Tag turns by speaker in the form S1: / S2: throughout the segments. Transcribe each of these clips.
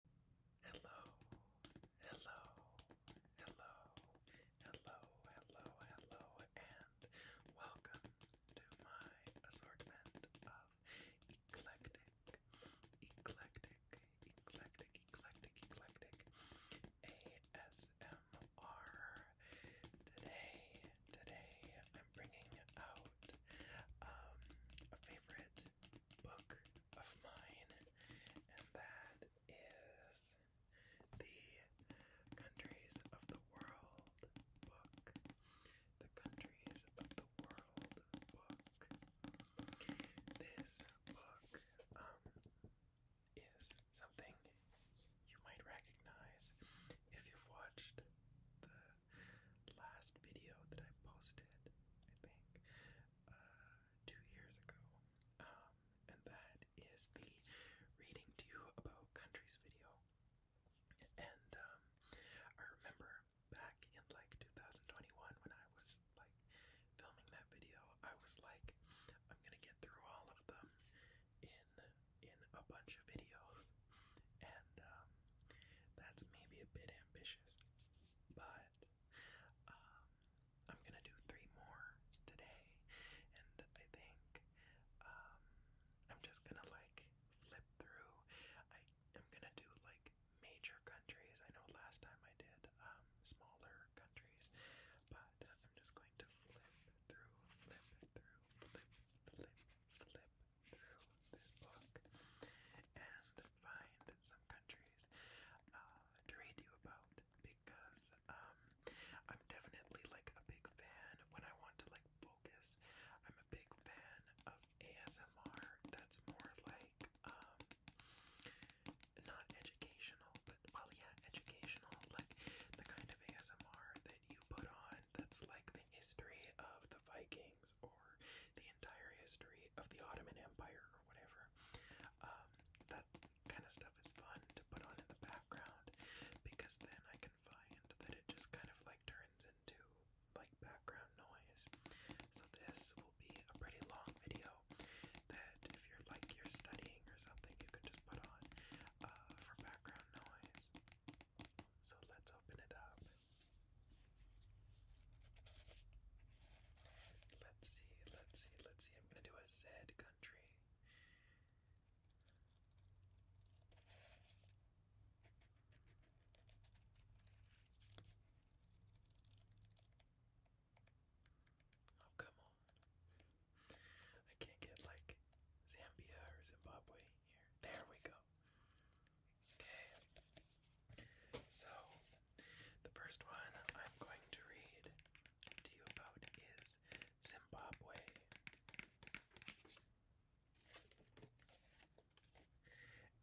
S1: Hello, hello, hello, hello, hello, hello, and welcome to my assortment of eclectic, eclectic, eclectic, eclectic, eclectic ASMR. Today, today, I'm bringing out um, a favorite book of mine, and that is the Countries of the World book. The Countries of the World book. This book um, is something you might recognize if you've watched the last video that I posted, I think, two years ago, um, and that is the reading to you about countries video. And um, I remember back in like 2021 when I was like filming that video, I was like, I'm gonna get through all of them in in a bunch of videos, and um, that's maybe a bit ambitious, but um, I'm gonna do three more today, and I think um, I'm just gonna like
S2: flip through. I am gonna do like major countries. I know last time I did um, smaller countries,
S1: but I'm just going to flip through, flip through, flip, flip, flip through this book, and find some countries uh, to read you about because um, I'm definitely like a big fan when I want to like focus. I'm a big fan of ASMR that's more like um, not educational, but well, yeah, educational, like the kind of ASMR that you put on that's like the history of the Vikings or the entire history of the Ottoman Empire or whatever. Um, that kind of stuff is fun to put on in the background because then I can find that it just kind of like turns into like background noise. So this will be a pretty long video that if you're like you're studying or something you can just put on uh, for background noise. So let's open it up. Let's see, let's see, let's see. I'm gonna do a Z country. Oh, come on. I can't get like Zambia or Zimbabwe here. There we go. Okay. So,
S2: the first one I'm going to read to you about is Zimbabwe.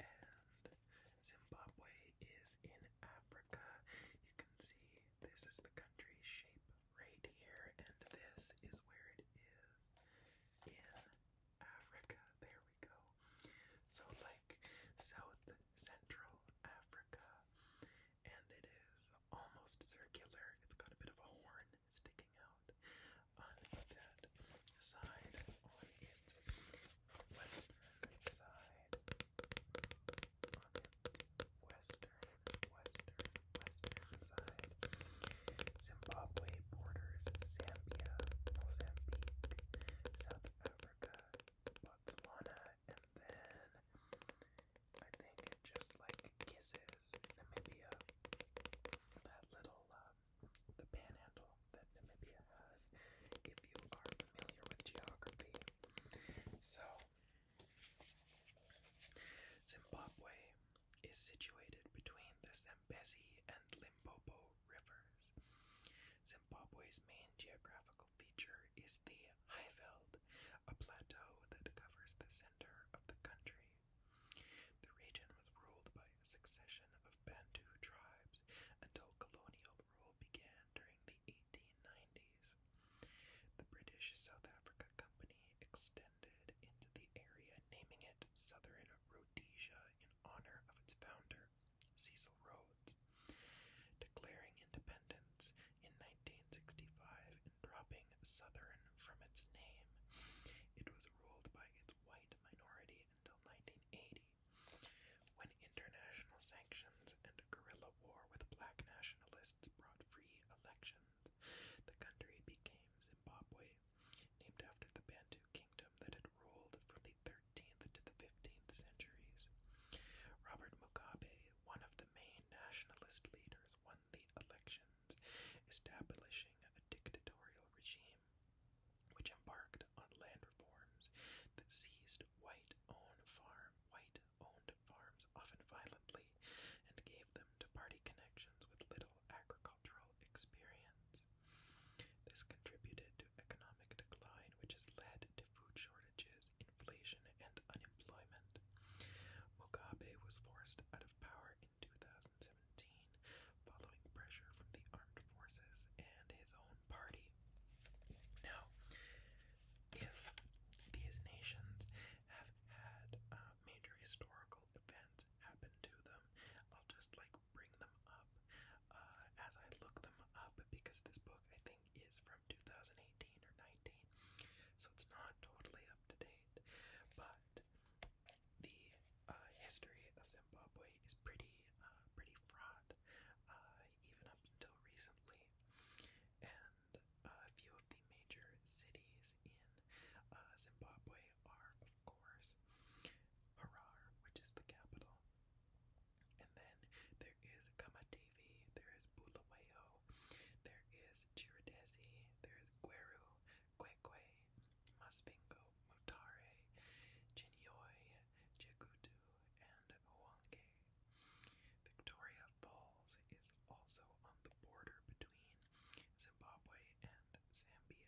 S1: And Zimbabwe is in Africa. You can see this is the country shape right here, and this is where it is in Africa. There we go. So, like, South Central Africa, and it is almost circular. It's got a bit of a horn sticking out on that side, on its western side, western, western, western side. Zimbabwe borders Zambia, Mozambique, South Africa, Botswana, and then I think just like kisses Namibia. That little um, the panhandle that Namibia has, if you are familiar with
S2: geography. So
S1: Zimbabwe is situated between the Zambezi and Limpopo rivers. Zimbabwe's main geographical feature is the Highveld, a plateau that covers the center of the country. The region was ruled by a succession of Bantu tribes until colonial rule began during the 1890s. The British South Africa Company extended into the area, naming it Southern Rhodesia in honor of its founder, Cecil Rhodes, declaring independence in 1965 and dropping Southern from its name. It was ruled by its white minority until 1980, when international sanctions and guerrilla war with black nationalists brought free elections. The country became Zimbabwe, named after the Bantu kingdom that had ruled from the 13th to the 15th centuries. Robert Mugabe, one of the main nationalist leaders, won the elections, establishing a dictatorial regime which embarked on land reforms that seized white-owned farm, white-owned farms often violently, and gave them to party connections with little agricultural experience. This contributed to economic decline, which has led food shortages, inflation, and unemployment. Mugabe was forced out of power in 2017 following pressure from the armed forces and his own party. Now, if these nations have had uh, major historical events happen to them, I'll just like bring them up uh, as I look them up because this book I think is from 2018 or 19, so it's not totally up to date, but the uh, history of Zimbabwe is pretty uh, pretty fraught, even up until recently, and a few of the major cities in Zimbabwe are, of course, Harar, which is the capital, and then there is Kamativi, there is Bulawayo, there is Chiridesi, there is Gueru, Kwekwe, Masvingo, Mutare, Chinyoi, Chigutu, and Huange. Victoria Falls is also on the border between Zimbabwe and Zambia.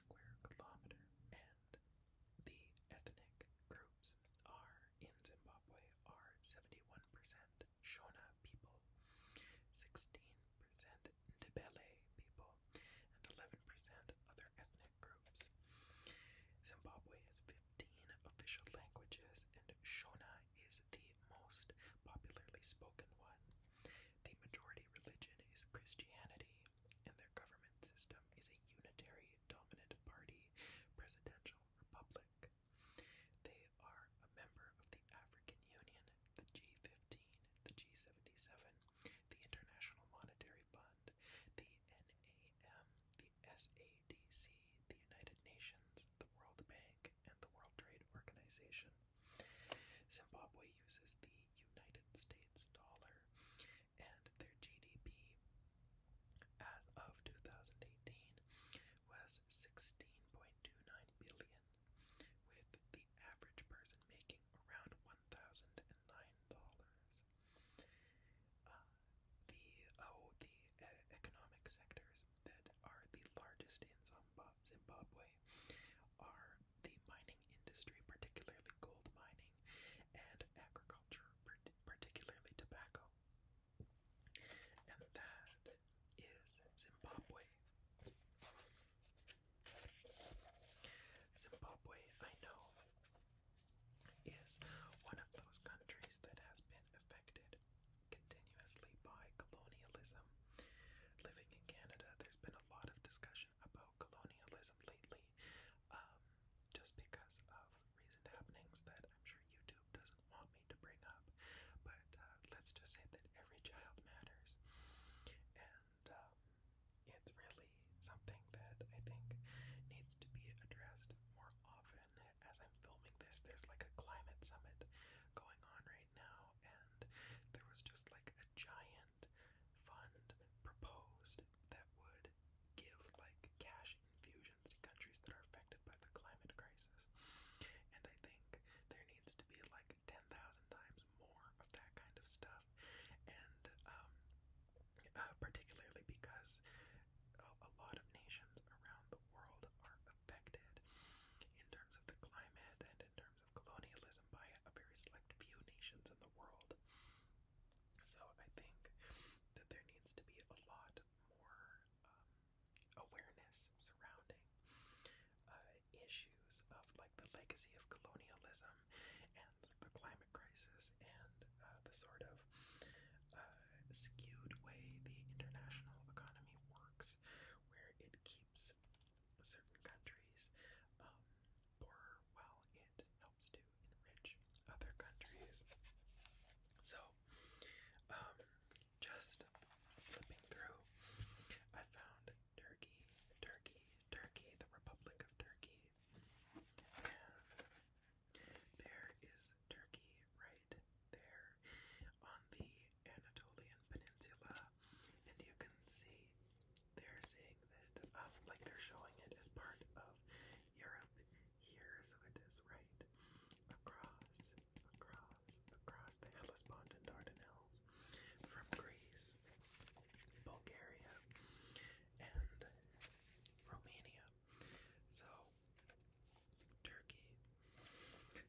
S1: square kilometer, and the ethnic groups are in Zimbabwe are 71% Shona people, 16% Ndebele people, and 11% other ethnic groups. Zimbabwe has 15 official languages, and Shona is the most popularly spoken one. The majority religion is Christianity, and their government system is a unitary dominant party presidential republic. They are a member of the African Union, the G15, the G77, the International Monetary Fund, the NAM, the SADC, the United Nations, the World Bank, and the World Trade Organization. Zimbabwe uses the United States dollar, and their GDP as of 2018 was 16.29 billion, with the average person making around $1,009. Uh, the
S2: oh, the uh, economic sectors that are the largest in Zimbabwe are the mining
S1: industry, particularly gold mining, and agriculture, particularly tobacco. And that is Zimbabwe. Zimbabwe, I know, is one of those countries that has been affected continuously by colonialism. Living in Canada, there's been a lot of discussion about colonialism lately, um, just because of recent happenings that I'm sure YouTube doesn't want me to bring up. But uh, let's just say that every child matters, and um, it's really something that I think needs to be addressed more often. As I'm filming this, there's like a climate summit going on right now, and there was just like a giant grant fund proposed that would give like cash infusions to countries that are affected by the climate crisis. And I think there needs to be like 10,000 times more of that kind of stuff. And um, uh, particularly because a, a lot of nations around the world are affected in terms of the climate and in terms of colonialism by a very select few nations in the world. So I think that there needs to be a lot more um, awareness surrounding uh, issues of like the legacy of colonialism and the climate crisis and uh, the sort of uh, skewed way the international economy works, where it keeps certain countries um, while it helps to enrich other countries. So, um, just flipping through, I found Turkey, Turkey, Turkey, the Republic of Turkey. And there is Turkey right there on the Anatolian Peninsula and you can see they're seeing that, um, like they're showing it as part of Europe here, so it is right across, across, across the Hellespont and Dardanelles from Greece, Bulgaria, and Romania. So Turkey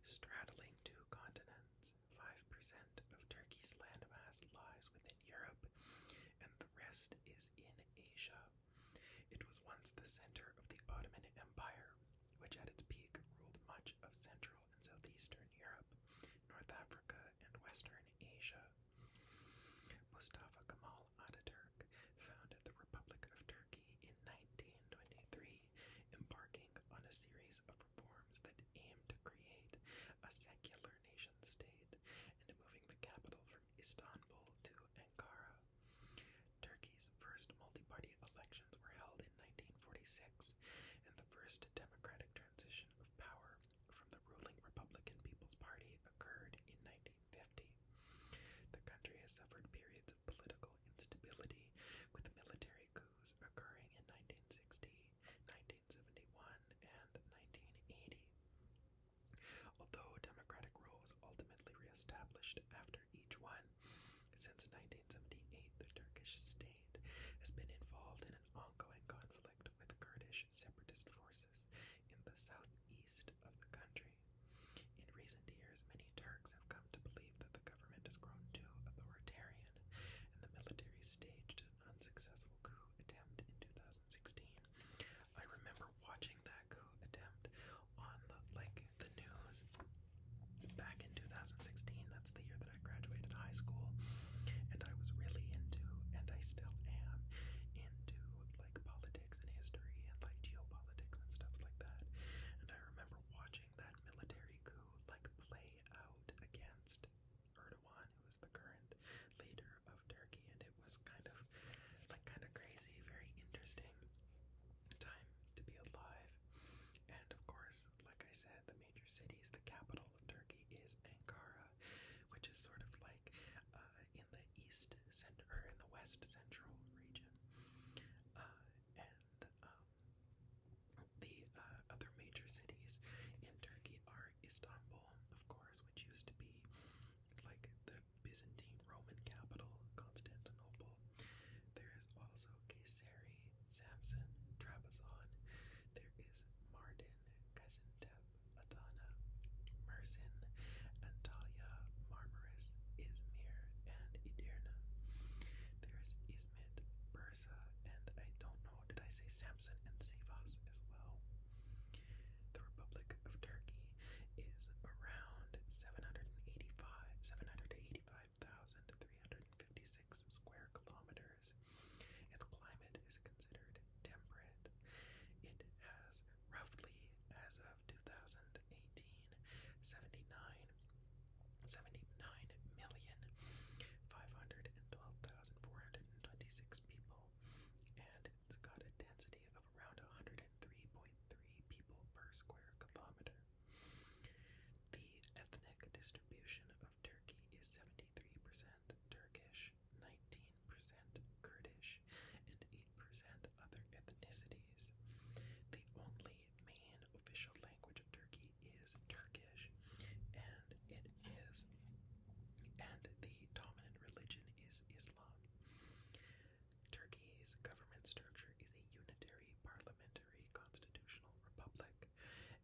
S1: straddling two continents 5% of Turkey's landmass lies within Europe, and the rest is in Asia.
S2: It was once the center of the Ottoman Empire, which at its peak ruled much of
S1: Central and Southeastern Europe, North Africa, and Western Asia. Mustafa Kemal Ataturk founded the Republic of Turkey in 1923, embarking on a series of reforms that aimed to create a secular nation state and moving the capital from Istanbul to Ankara. Turkey's first multi party elections were held in 1946 and the first democratic transition of power from the ruling Republican People's Party occurred in 1950. The country has suffered periods of political instability, with military coups occurring in 1960, 1971, and 1980. Although democratic rule was ultimately reestablished after each one, since 1978 the Turkish state has been involved in an ongoing conflict with Kurdish separatist forces in the southeast of the country. In recent years, many Turks have come to believe that the government has grown too authoritarian and the military staged unsuccessful coup attempt in 2016. I remember watching that coup attempt on the, like the news back in 2016. That's the year that I graduated high school, and I was really into, and I still am, into like politics and history and like geopolitics and stuff like that. And I remember watching that military coup like play out against. Erdogan Erdogan, who is the current leader of Turkey, and it was kind of like kind of crazy, very interesting time to be alive. And of course, like I said, the major cities, the capital of Turkey is Ankara, which is sort of like uh, in the east center or in the west central region. Uh,
S2: and um, the uh, other major cities in Turkey
S1: are Istanbul, of course, which used to be like the Byzantine Roman capital, Constantinople. There is also Kayseri, Samson, Trabzon. There is Mardin, Gaziantep, Adana, Mersin, Antalya, Marmaris, Izmir, and Edirne. There is Izmit, Bursa, and I don't know now, oh, did I say Samson and Sivas as well? The Republic of Turkey
S2: is around 785 785,356
S1: square kilometers. Its climate is considered temperate. It has roughly, as of 2018, 79 79 million five hundred and twelve thousand four hundred 126 people, and it's got a density of around 103.3 people per square kilometer. The ethnic distribution of Turkey is 73% Turkish, 19% Kurdish, and 8% other ethnicities. The only main official language of Turkey is Turkish and it is, and the dominant religion is Islam. Turkey's government structure is a unitary parliamentary constitutional republic,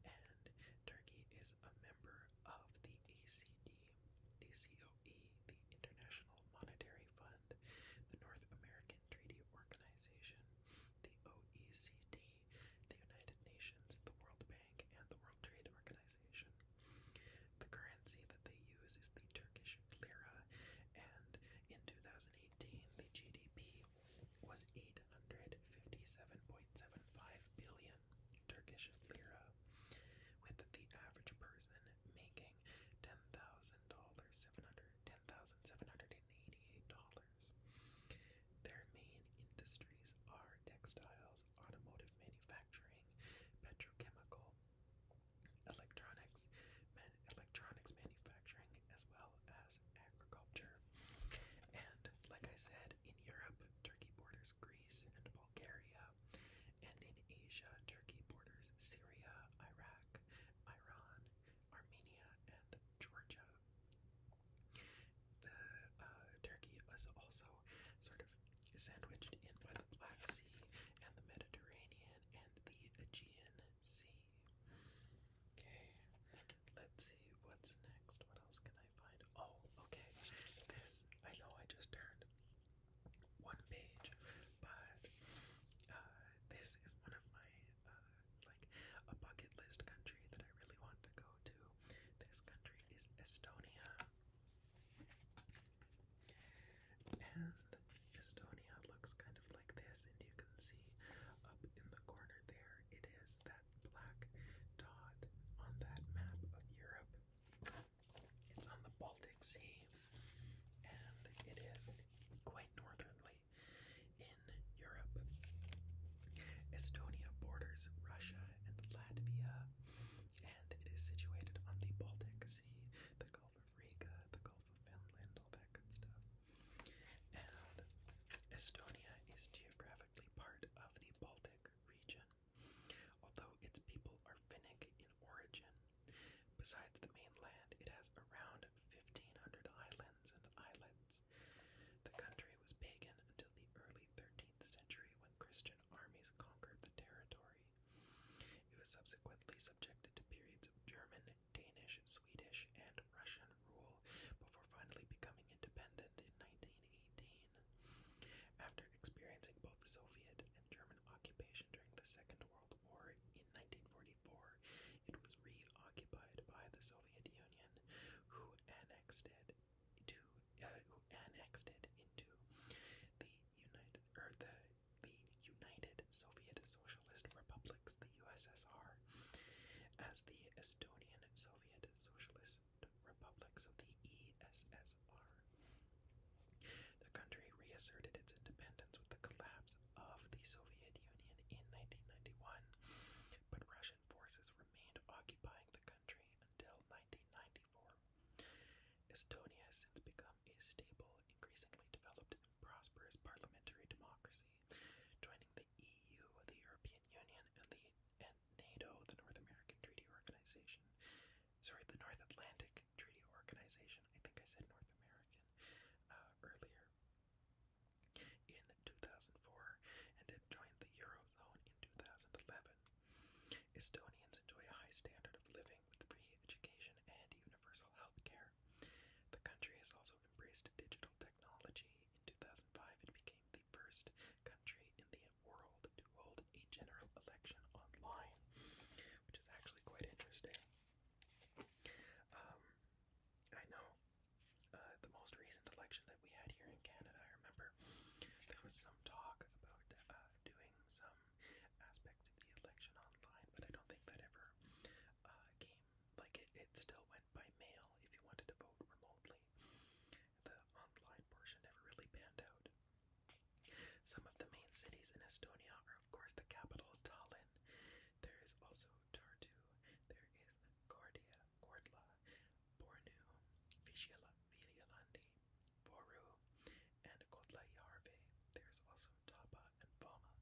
S1: and Turkey is a member of the ACD, the COE, the International Monetary Fund, the North American Treaty Organization, the OECD, the United Nations, the World Bank, and the World Trade Organization. The currency that they use is the Turkish lira, and in 2018, the GDP was 857.75 billion Turkish lira, with the average person making ten thousand dollars seven hundred ten thousand seven hundred and eighty-eight dollars. Their main industries are textiles
S2: sales, automotive manufacturing, petrochemical, electronics,
S1: electronics manufacturing, as well as agriculture. And like I said, in Europe, Turkey borders Greece and Bulgaria, and in Asia, Turkey borders Syria, Iraq, Iran, Armenia, and Georgia. The uh, Turkey is also sort of sandwiched in by the Black Sea and the Mediterranean and the Aegean Sea. Okay, let's see what's next. What else can I find? Oh, okay. This, I know I just turned one page, but uh, this is one of my, uh, like, a bucket list country that I really want to go to. This country is Estonia. And Estonia looks kind of like this, and you can see up in the corner there it is that black dot on that map of Europe. It's on the Baltic Sea, and it is quite northernly in Europe. Estonia borders Russia and Latvia, and it is situated on the Baltic Sea, the Gulf of Riga, the Gulf of Finland, all that good stuff. And Estonia is geographically part of the Baltic region, although its people are Finnic in origin. Besides the mainland, it has around 1,500 islands and islets. The country was pagan until the early 13th century when Christian armies conquered the territory. It was subsequently subjected to periods of German, Danish, Swedish, and Russian rule before finally becoming independent in 1918. After experiencing both Soviet and German occupation during the Second World War in 1944, it was reoccupied by the Soviet Union, who annexed it to uh, annexed it into the United or the the United Soviet Socialist Republics, the USSR, as the Estonian
S2: Soviet Socialist Republics of the ESSR.
S1: The country reasserted its independence with the collapse of the Soviet Union in 1991, but Russian forces remained occupying the country until 1994. Estonia has since become a stable, increasingly developed, and prosperous parliamentary democracy, joining the EU, the European Union, and the NATO, the North American Treaty Organization. Sorry, the North Atlantic Treaty Organization. I think I said North American uh, earlier. In 2004, it joined the Eurozone 2011. Estonians enjoy a high standard of living with free education and universal health care. The country has also embraced digital technology. In 2005, it became the first country in the world to hold a general election online, which is actually quite interesting. Um, I know uh, the most recent election we had here in Canada. I remember there was some talk about uh, doing some aspects of the election online, but I don't think that ever uh, came. Like it, it still went by mail if you wanted to vote remotely. The online portion never really panned out. Some of the main cities in Estonia are, of course, the capital Tallinn. There is also Tartu. There is Gordia, Gordla, Bornu, Vishilandi, Boru, and Kotlayarve. There's also Tapa and Bama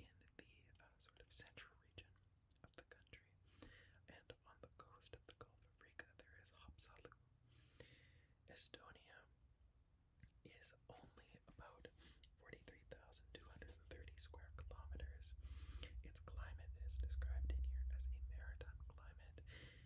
S1: in the uh, sort of central region of the country. And on the coast of the Gulf of Riga, there is Hapsalu. Estonia is only about 43,230 square kilometers. Its climate is described in here as a maritime climate,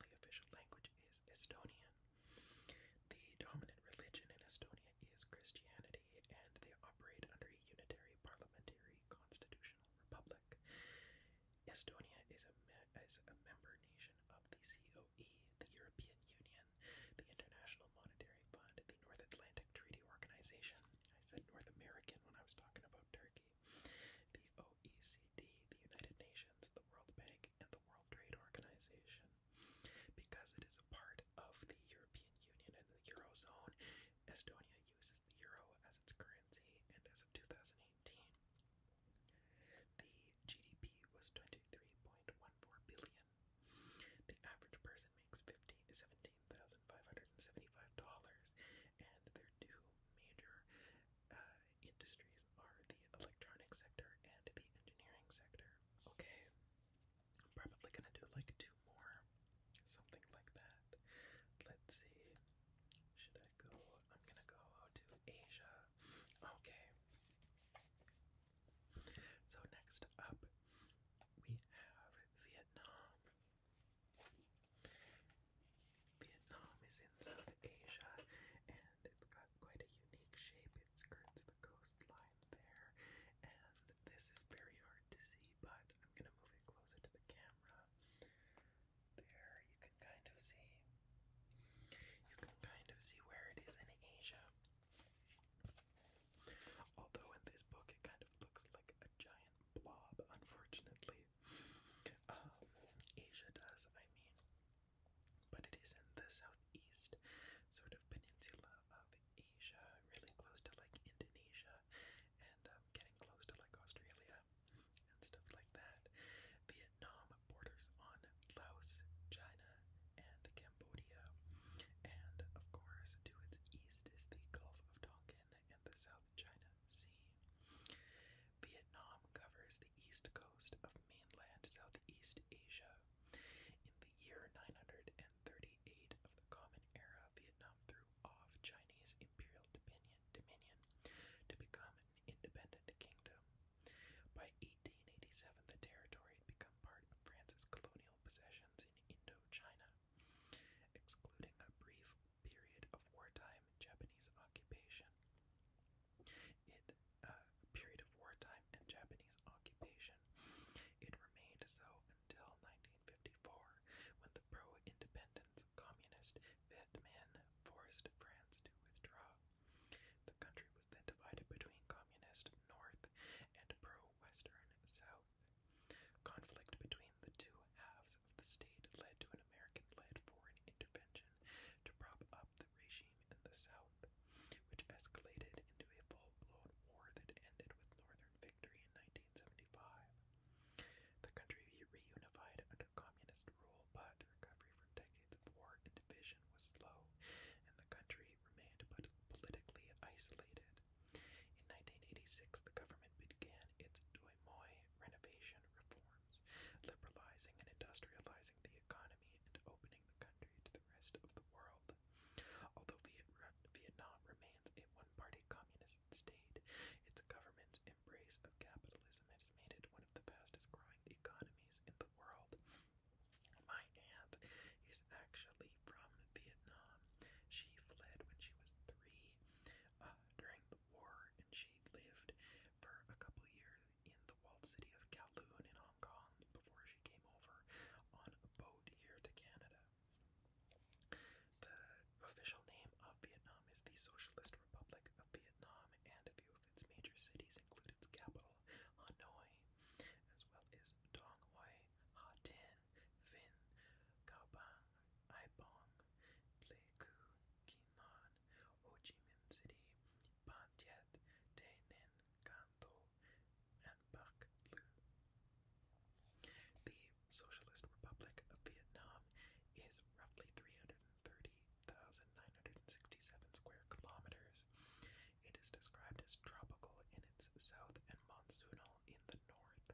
S1: The official language is Estonian. The dominant religion in Estonia is Christianity, and they operate under a unitary parliamentary constitutional republic. Estonia is a, is a member nation of the COE, the European Union, the International Monetary Fund, the North Atlantic Treaty Organization. I said North American when I was talking about Turkey the OECD, the United Nations, the World Bank, and the World Trade Organization. Because it is a part of the European Union and the Eurozone, Estonia uses the euro as its currency, and as of 2018, the GDP was 23.14 billion. The average person makes $17,575, and their two major uh, industries are the electronic sector and the engineering sector. Okay, I'm probably gonna do like two more, something like that. Let's see, should I go? I'm gonna go to Asia. Okay, so next up we have Vietnam. Vietnam is in South Asia and it's got quite a unique shape. It skirts the coastline there, and this is very hard to
S2: see, but I'm going to move it closer to the camera. There, you can kind
S1: of see. You can kind of see where it is in Asia. Although in this book it kind of looks like a giant blob, unfortunately, way um, uh, Asia does, I mean. But it is in the southeast sort of peninsula of Asia, really close to like Indonesia and um, getting close to like Australia and stuff like that. Vietnam borders on Laos, China,
S2: and Cambodia. And of course, to its east is the Gulf of Tonkin and the South China Vietnam covers the east
S1: coast of mainland Southeast Asia. In the year 938 of the Common Era, Vietnam threw off Chinese imperial dominion, to become an independent kingdom. By 1887, the territory had become part of France's colonial possessions in Indochina. Excluding a brief period of wartime Japanese occupation, it uh, period of wartime and Japanese occupation. It remained so until 1954, when the pro-independence communist Vietman forced France to withdraw. The country was then divided between communist North and pro-Western South. Conflict between the two halves of the state led to an American-led foreign intervention to prop up the regime in the south, which escalated into a full-blown war that ended with northern victory in 1975. The country reunified under communist rule, but recovery from decades of war and division was slow, and the country remained politically isolated. In 1986, the government began its Doi Moi renovation reform reforms, liberalizing and industrializing the economy and opening the country to the rest of the world. Although Viet Vietnam remains a one-party communist state, its government's embrace of capitalism has made it one of the fastest-growing economies in the world. My aunt is actually from Vietnam. She fled when she was three uh, during the war, and she lived for a couple years in the walled city of Kowloon in Hong Kong before she came over on a boat here to Canada. The official name of Vietnam is the Socialist Republic of Vietnam, and a few of its major cities include its capital, Hanoi, as well as Dong Hoi, Ha Tin, Vinh, Cao Bang, Ai Bong, Pleiku, Kinan, the Socialist Republic of Vietnam is roughly 330,967 square kilometers. It is described as tropical in its south and monsoonal in the north.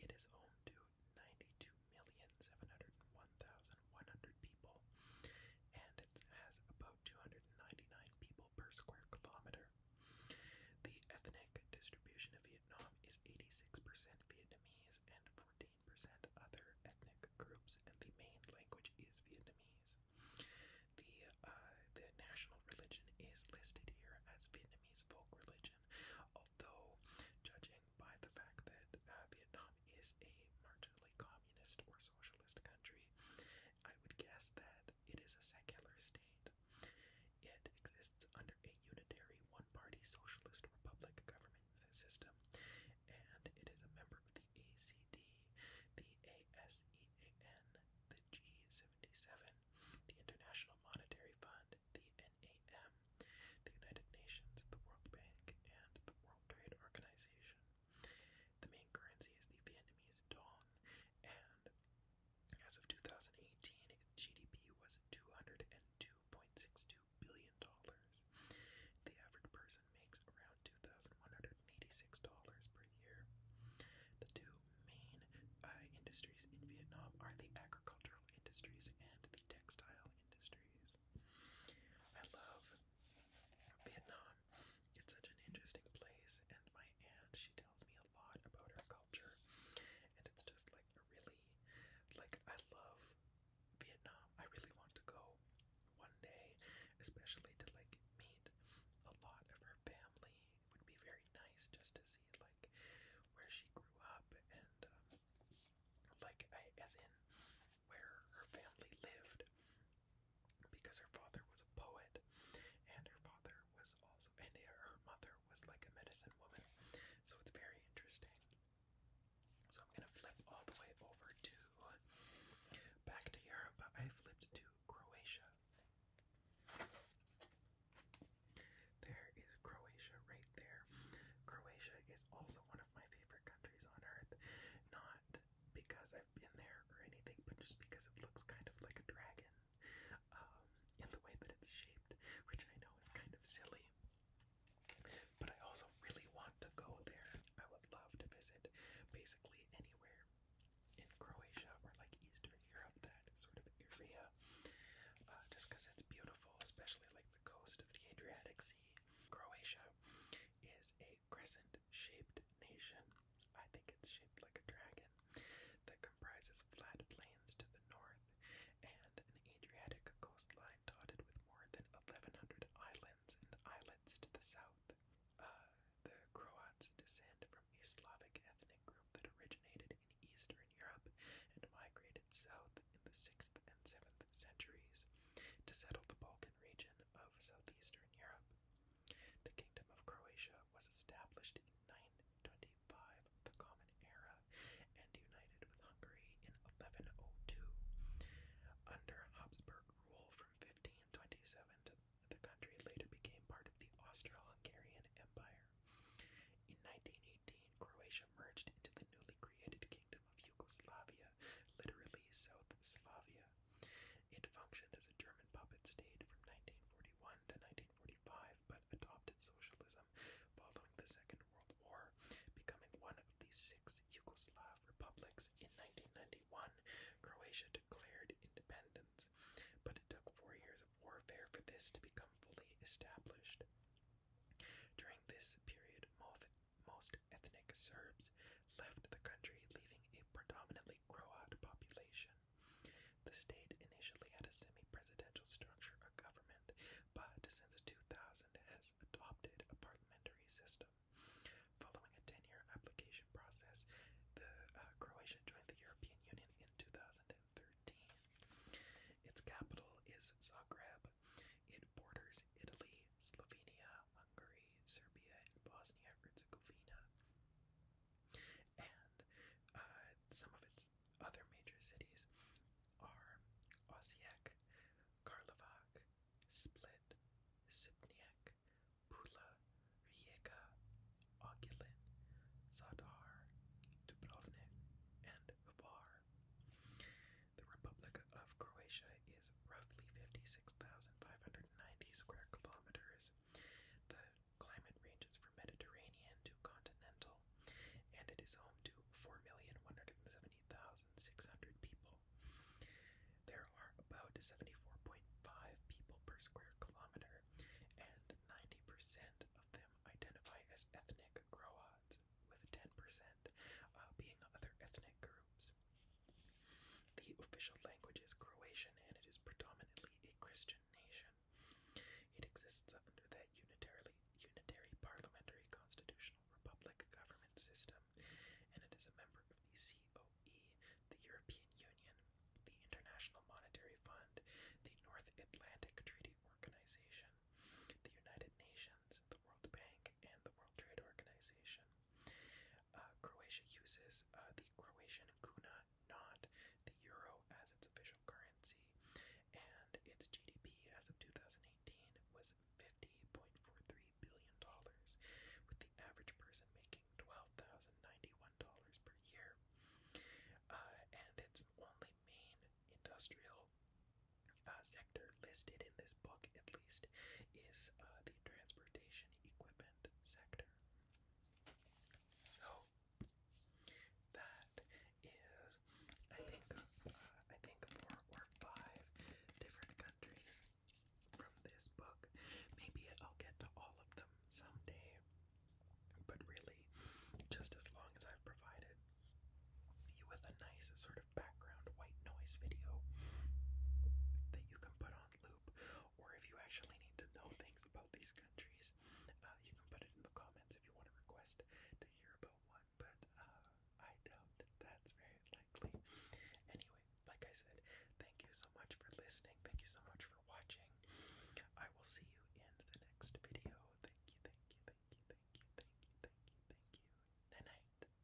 S1: It is home to 92 2,701,100 people, and it has about 299 people per square kilometer. The ethnic distribution of Vietnam is 86% Vietnamese and 14% other ethnic groups, and the main language is Vietnamese. The uh, the national religion is listed here as Vietnamese folk religion, although judging by the fact that uh, Vietnam is a marginally communist or socialist country. I would guess that it is a secular state. It exists under a unitary one party socialist republic government system, and it is a member of the ACD, the ASEAN, the G77, the International Monetary Fund, the NAM, the United Nations, the World Bank, and the Trade Organization. The main currency is
S2: the Vietnamese dong, and as of 2018,
S1: GDP was $202.62 billion. The average person makes around $2,186 per year. The two main uh, industries in Vietnam are the agricultural industries and the textile industries places. I love Vietnam. It's such an interesting place, and my aunt, she tells me a lot about her culture, and it's just like a really, like, I love Vietnam. I really want to go one day, especially to like meet a lot of her family. It would be very nice just to see like where she grew up and um, like as in where her family lived, because her father was a poet, and her father was also, and her mother was like a medicine woman. So it's very interesting. So I'm gonna flip all the way over to back to Europe. I flipped to Croatia. There is Croatia right there. Croatia is also one my favorite countries on earth. Not because I've been there or anything, but just because it looks kind of like a dragon um, in the way that it's shaped, which I know is kind of silly. But I also really want to go there. I would love to visit basically anywhere in Croatia or like Eastern Europe, that sort of area, uh, just because it's beautiful, especially like the coast of the Adriatic Sea. Croatia is a crescent shaped nation. I think it's shaped like a dragon that comprises flat plains to the north and an Adriatic coastline dotted with more than 1,100 islands and islets to the south. Uh, the Croats descend from a Slavic ethnic group that originated in Eastern Europe and migrated south in the 6th and 7th centuries to settle the Balkan region of southeastern Europe. The Kingdom of Croatia was established in 925, the Common Era, and united with Hungary in 1102. Under Habsburg rule from 1527, the country later became part of the Austro-Hungarian Empire. In 1918, Croatia merged into the newly created Kingdom Yugoslavia, literally South Slavia. It functioned as a German puppet state from 1941 to 1945, but adopted socialism following the Second World War, becoming one of the six Yugoslav republics in 1991. Croatia declared independence, but it took four years of warfare for this to become fully established. During this period, most ethnic Serbs left the country, leaving a predominantly Croat population. The state initially had a semi presidential structure of government, but since 2000 has adopted a parliamentary system. Following a 10 year application process, the uh, Croatian joined the European Union in 2013. Its capital is Zagreb. It borders Italy, Slovenia, Hungary, Serbia, and Bosnia and Herzegovina. And uh, some of its other major cities are Osijek, Karlovac, Split, Sipniak, Pula, Rijeka, Ogulin, Zadar, Dubrovnik,
S2: and Hvar. The Republic of Croatia is
S1: roughly 56,590 square kilometers. The climate ranges from Mediterranean to continental, and it is home to 4,170,600 people. There are about 74.5 people per square kilometer, and 90% of them identify as ethnic Croats, with 10% uh, being other ethnic groups. The official language is Croatian and it is predominantly a Christian nation. It exists under that unitarily, unitary parliamentary constitutional republic government system and it is a member of the COE, the European Union, the International Monetary Fund, the North Atlantic Treaty Organization, the United Nations the World Bank, and the World Trade Organization. Uh, Croatia uses uh, the Croatian kuna, not the euro, as its official currency, and its GDP as of 2018 was $50.43 billion, with the average person making $12,091 per year. Uh, and its only main industrial sector listed in this book, is uh, the transportation equipment sector. So that is, I think, uh, I think four or five different countries from this book. Maybe I'll get to all of them someday, but really, just as long as I've provided you with a nice sort background
S2: white noise video that you can put on loop, or if you actually need to know things about these countries,
S1: uh, you can put it in the comments if you want to request to hear about one. But uh, I doubt that's very likely. Anyway, like I said, thank you so much for listening. Thank you so much for watching. I will see you in the next video. Thank you, thank you, thank you, thank you, thank you, thank you, thank you. Night night.